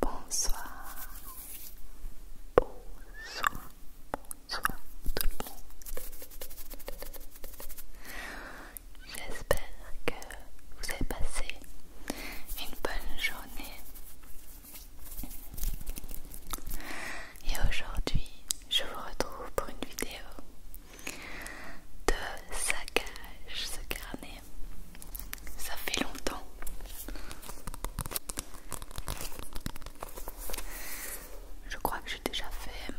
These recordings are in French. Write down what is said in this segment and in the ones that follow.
Bonsoir, bonsoir, bonsoir tout le monde. J'espère que vous avez passé une bonne journée. Et aujourd'hui, je vous retrouve pour une vidéo de saccage, ce carnet ça fait longtemps. Je crois que j'ai déjà fait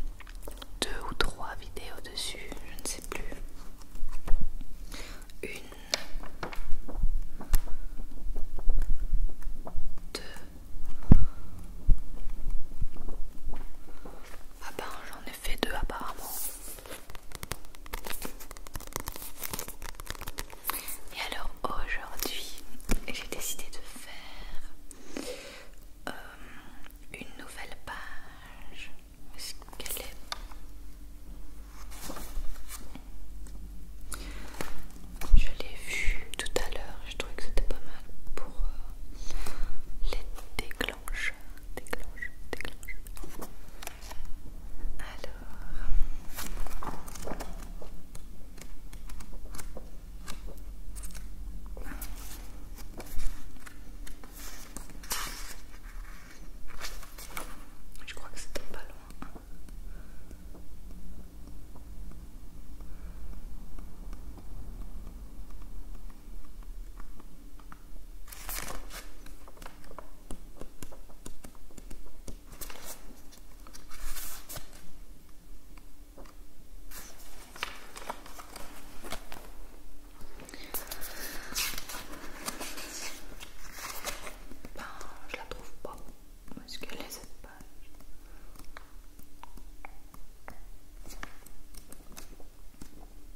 deux ou trois vidéos dessus, je ne sais plus. Une, deux. Ah ben j'en ai fait deux apparemment. Et alors aujourd'hui, j'ai décidé de faire euh, une nouvelle page. qu'elle est, Je l'ai vue tout à l'heure, je trouvais que c'était pas mal pour euh, les déclencher déclenche, déclenche, déclenche. Alors. Je crois que c'était pas loin. Ben, je la trouve pas est-ce qu'elle est cette page.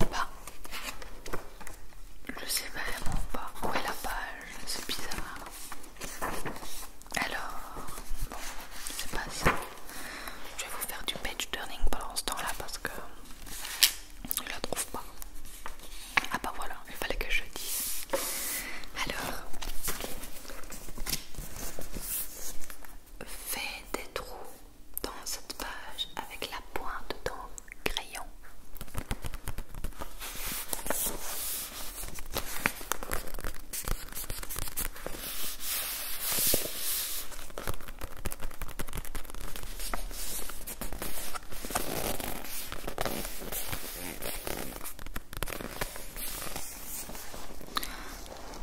Bah, je sais vraiment pas où est la page, c'est bizarre. Alors, bon, sais pas ça. Je vais vous faire du page turning pendant ce temps-là parce que je la trouve pas. Ah bah voilà, il fallait que je dise. Alors, fais des trous dans cette page avec la pointe de ton crayon.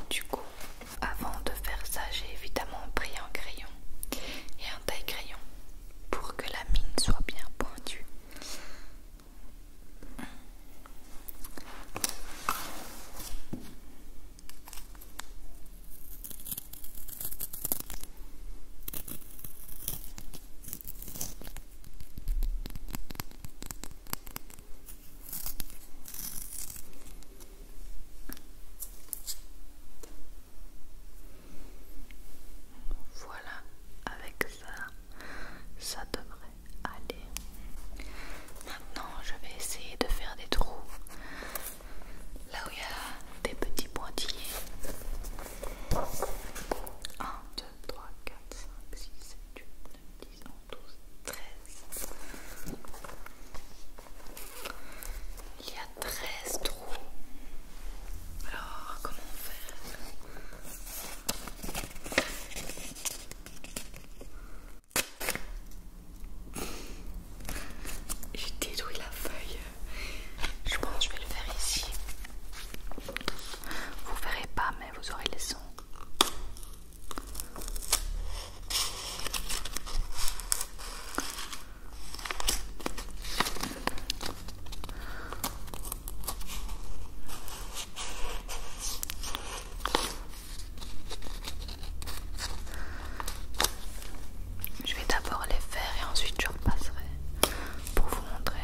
Du coup, avant de faire ça, j'ai évidemment pris un crayon et un taille-crayon pour que la mine soit bien pointue. Voilà, avec ça, ça devrait aller. Maintenant, je vais essayer de faire des trous là où il y a des petits pointillés. 1, 2, 3, 4, 5, 6, 7, 8, 9, 10. Il y a 13 trous. Alors, comment faire J'ai détruit la feuille. Je pense que je vais le faire ici. Vous verrez pas, mais vous aurez le sons. Je vais d'abord les faire et ensuite je repasserai pour vous montrer.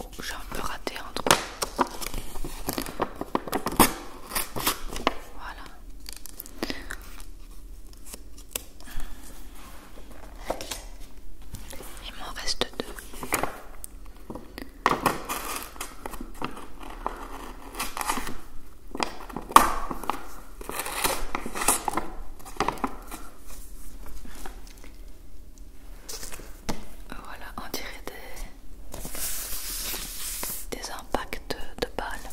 Oh, j'ai un peu raté entre trou. Voilà. Il m'en reste deux. Voilà, on dirait des, des impacts de balles.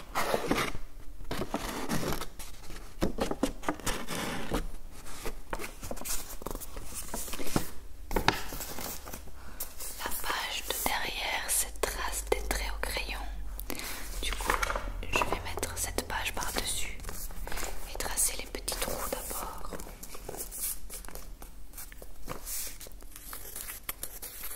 La page de derrière, cette trace des traits au crayon. Du coup, je vais mettre cette page par-dessus et tracer les petits trous d'abord.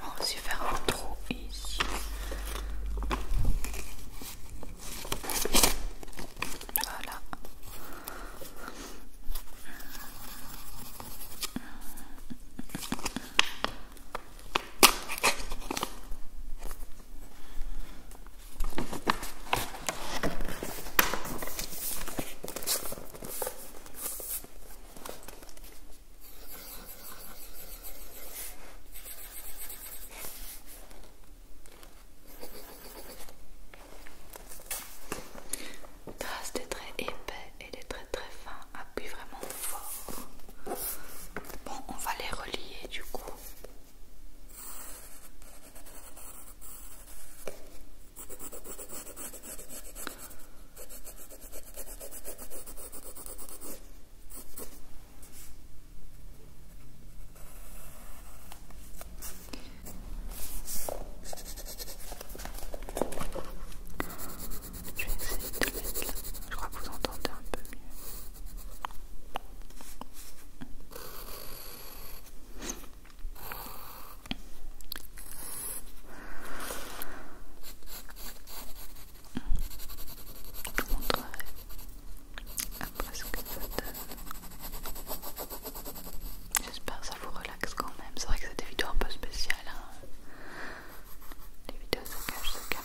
On va aussi faire un trou ici. Voilà. Trace des traits épais et des traits très fins, appuie vraiment fort. Bon, on va les relier du coup. Je vais Je crois que vous entendez un peu mieux après ce que vous, J'espère que ça vous relaxe quand même. C'est vrai que c'est des vidéos un peu spéciales. Hein. Les vidéos se cachent ce qu'elle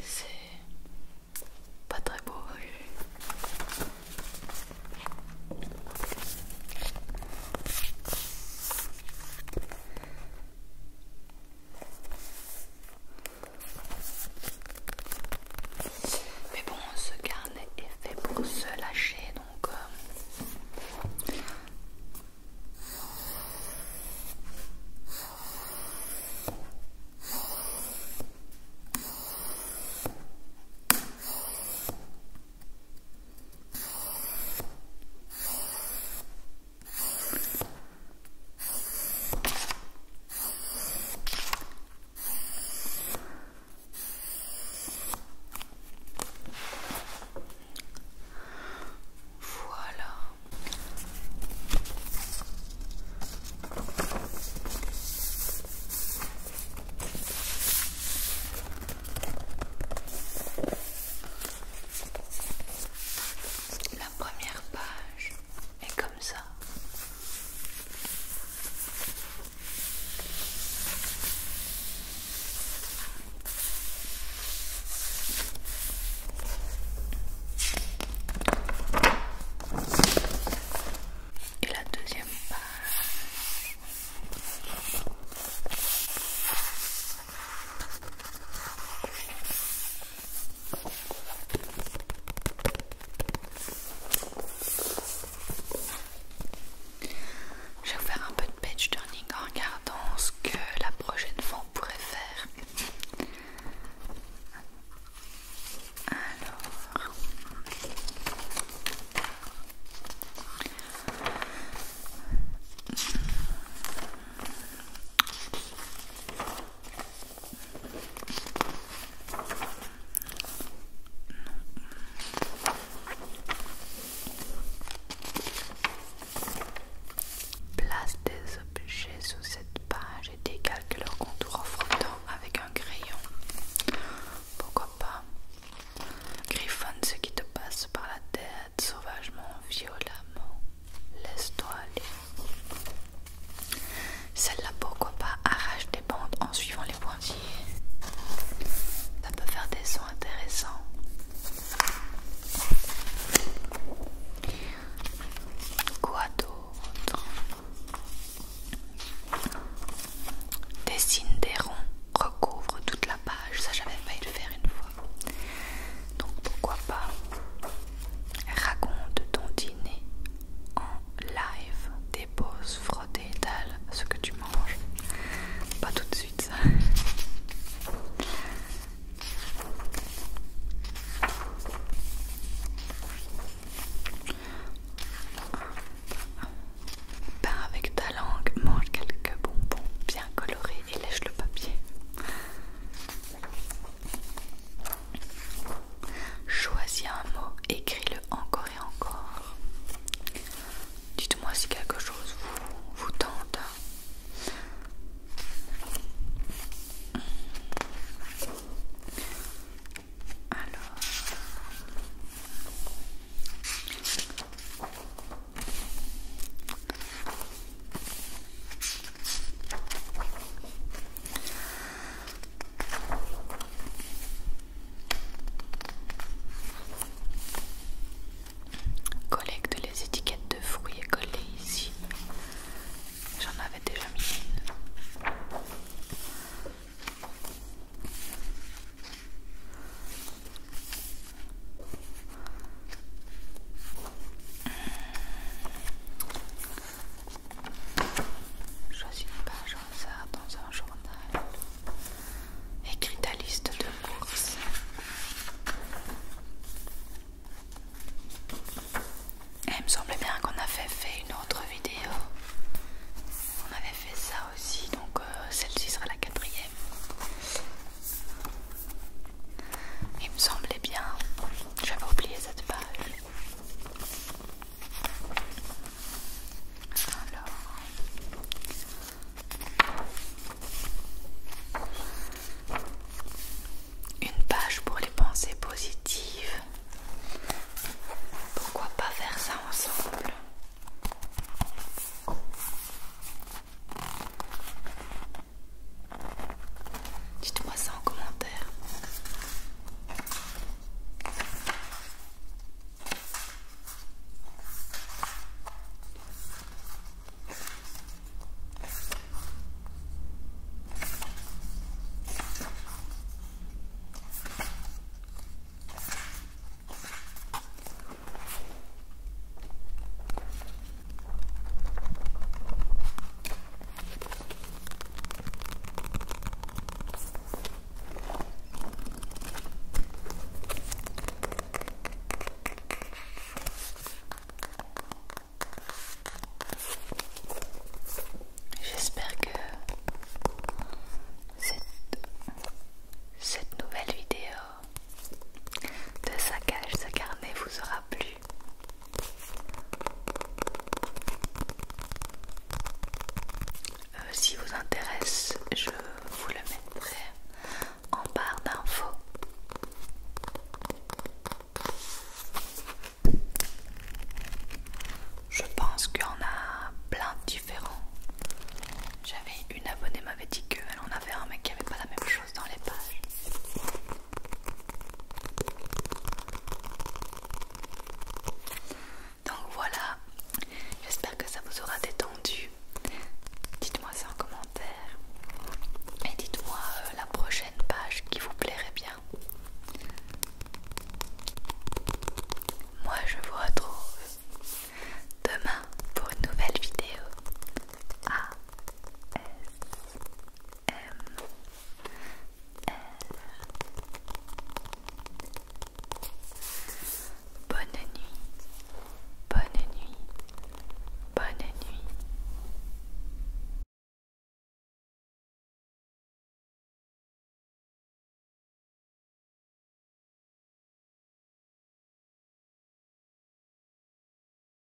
C'est pas très beau. Mais bon, ce carnet est fait pour se lâcher, donc... Euh, voilà. La première page et comme ça. Et la deuxième page. Je vais faire un peu de page turning en regardant ce que la prochaine fois on pourrait faire. Alors, Place des objets sous cette page et décalque leur contour en frottant avec un crayon. Pourquoi pas Griffonne ce qui te passe par la tête sauvagement, violemment. Laisse-toi aller. Celle-là, pourquoi pas arrache des bandes en suivant les pointillés. Ça peut faire des sons intéressants. Quoi d'autre Dessine des ronds, recouvre toute la page. Ça, j'avais failli le faire une fois. Donc pourquoi pas raconte ton dîner en live, dépose, frotte et étale ce que tu manges. Pas tout de suite ça. avec ta langue, mange quelques bonbons bien colorés et lèche le papier. Choisis un mot, écris-le encore et encore. Dites-moi si quelque chose vous, tente. Collecte les étiquettes de fruits et colle ici. J'en avais déjà mis une. Choisis une page au hasard dans un journal. Écris ta liste de courses. il me semble bien qu'on avait fait une autre vidéo. On avait fait ça aussi, donc euh, celle-ci sera la quatrième. Il me semblait bien, j'avais oublié cette page. Alors. Une page pour les pensées positives. Pourquoi pas faire ça ensemble Dites-moi ça en commentaire. J'espère que cette, nouvelle vidéo de saccage, ce carnet vous aura plu. Euh, si vous intéresse, je vous le mettrai en barre d'infos. Je pense qu'il y en a plein de différents. J'avais une abonnée m'avait dit qu'elle en avait un mec qui avait pas la même chose dans les pages. Donc voilà, j'espère que ça vous aura détendu. Dites-moi ça en commentaire et dites-moi euh, la prochaine page qui vous plairait bien. Moi je vous retrouve demain pour une nouvelle vidéo. A S M Bonne nuit Bonne nuit Bonne nuit